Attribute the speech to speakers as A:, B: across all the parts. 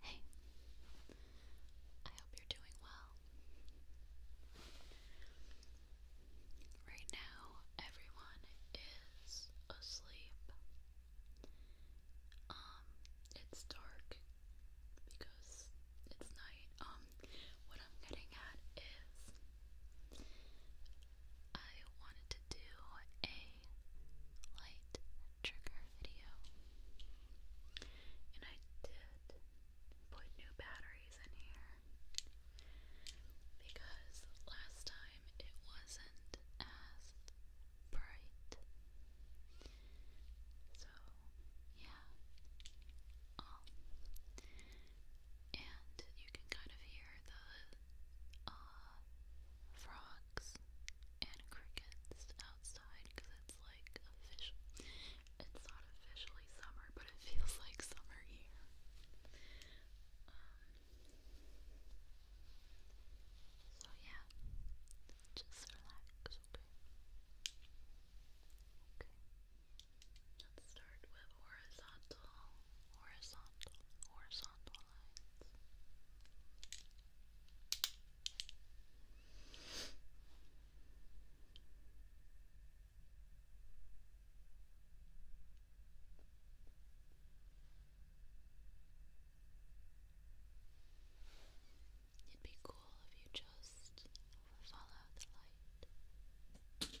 A: Hey, I hope you're doing well. Right now, everyone is asleep. Um, it's dark because it's night. Um, what I'm getting at is I wanted to do a light trigger video. And I did put new batteries in here because last time it wasn't as bright. So, yeah. Um, and you can kind of hear the uh, frog and crickets outside because it's like official. It's not officially summer, but it feels like summer here. Um, so yeah, just relax, okay? Okay. Let's start with horizontal, horizontal, horizontal lines. It'd be cool if you just follow the light.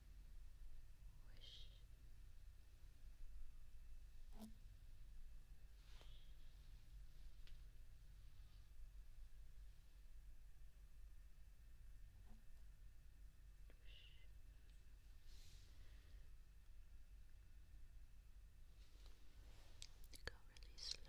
A: Wish.
B: Go really slow.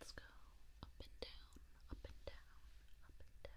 B: Let's go up and down, up and down, up and down, up and down.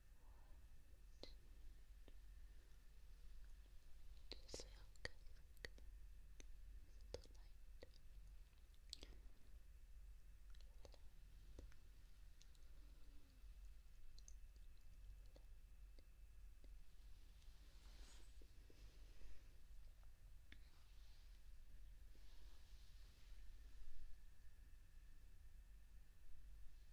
B: Just focus the light. Light. Light.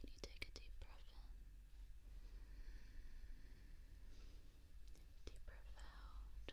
A: Can you take a deep breath in? Deep breath out.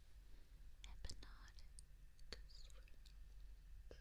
A: Hypnotic swirls. Start in the center. Now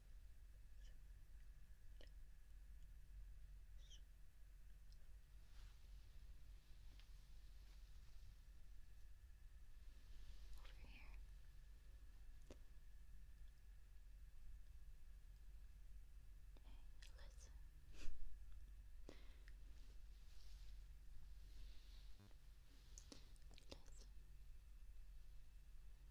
B: Over here. Hey, listen. listen.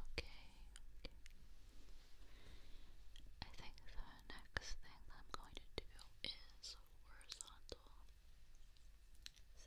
B: Okay, okay. I think the
A: next thing I'm going to do is horizontal zigzags.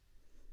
A: A bit farther.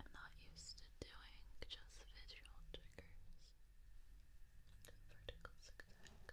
A: I'm not used to doing just visual triggers. Vertical zigzag.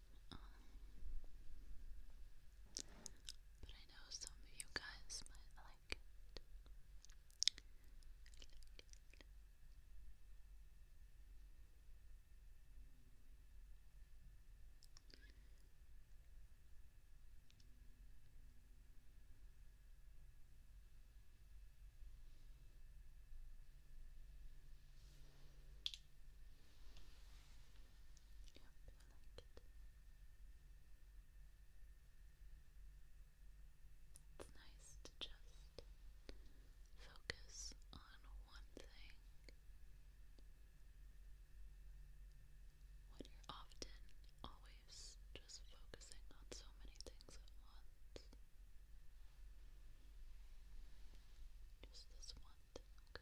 A: Um, but I know some of you guys might like it. Yep, It's nice to just focus on one thing. When you're often always just focusing on so many things at once. Just this one okay?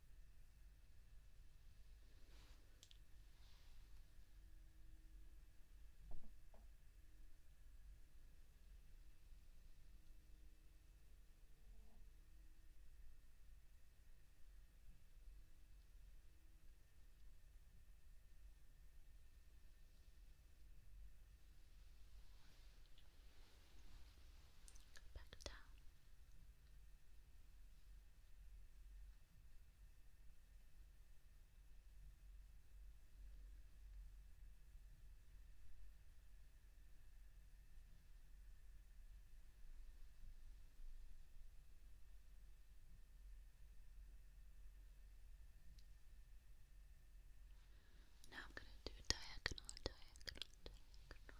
A: Back down. Now I'm going to do diagonal, diagonal, diagonal.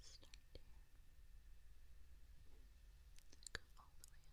A: Start here. Go all the way up here. Good.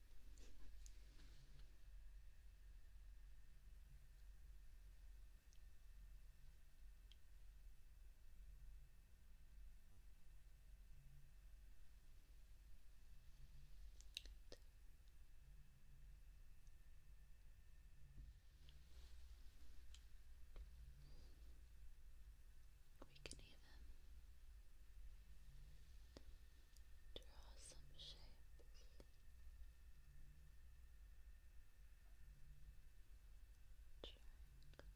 A: we can even Draw some shapes. Triangle. Triangle.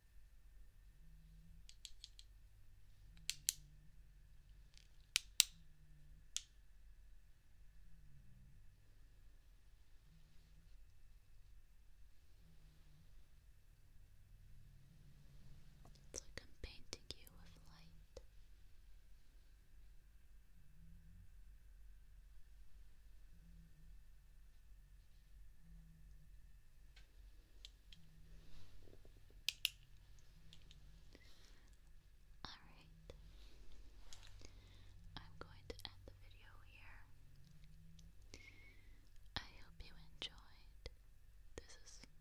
A: It's I'm painting you with light.
B: Alright. I'm going to end the video here. I hope you enjoyed. This is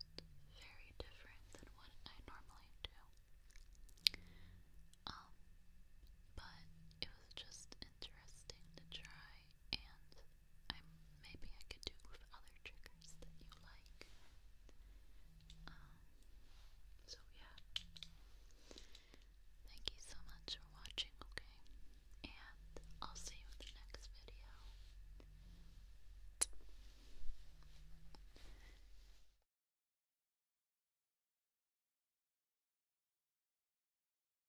B: very different than what I normally do. Um, but it was just interesting to try and I maybe I could do other triggers that you like. Um, so yeah. Thank you so much for watching, okay? And I'll see you in the next video.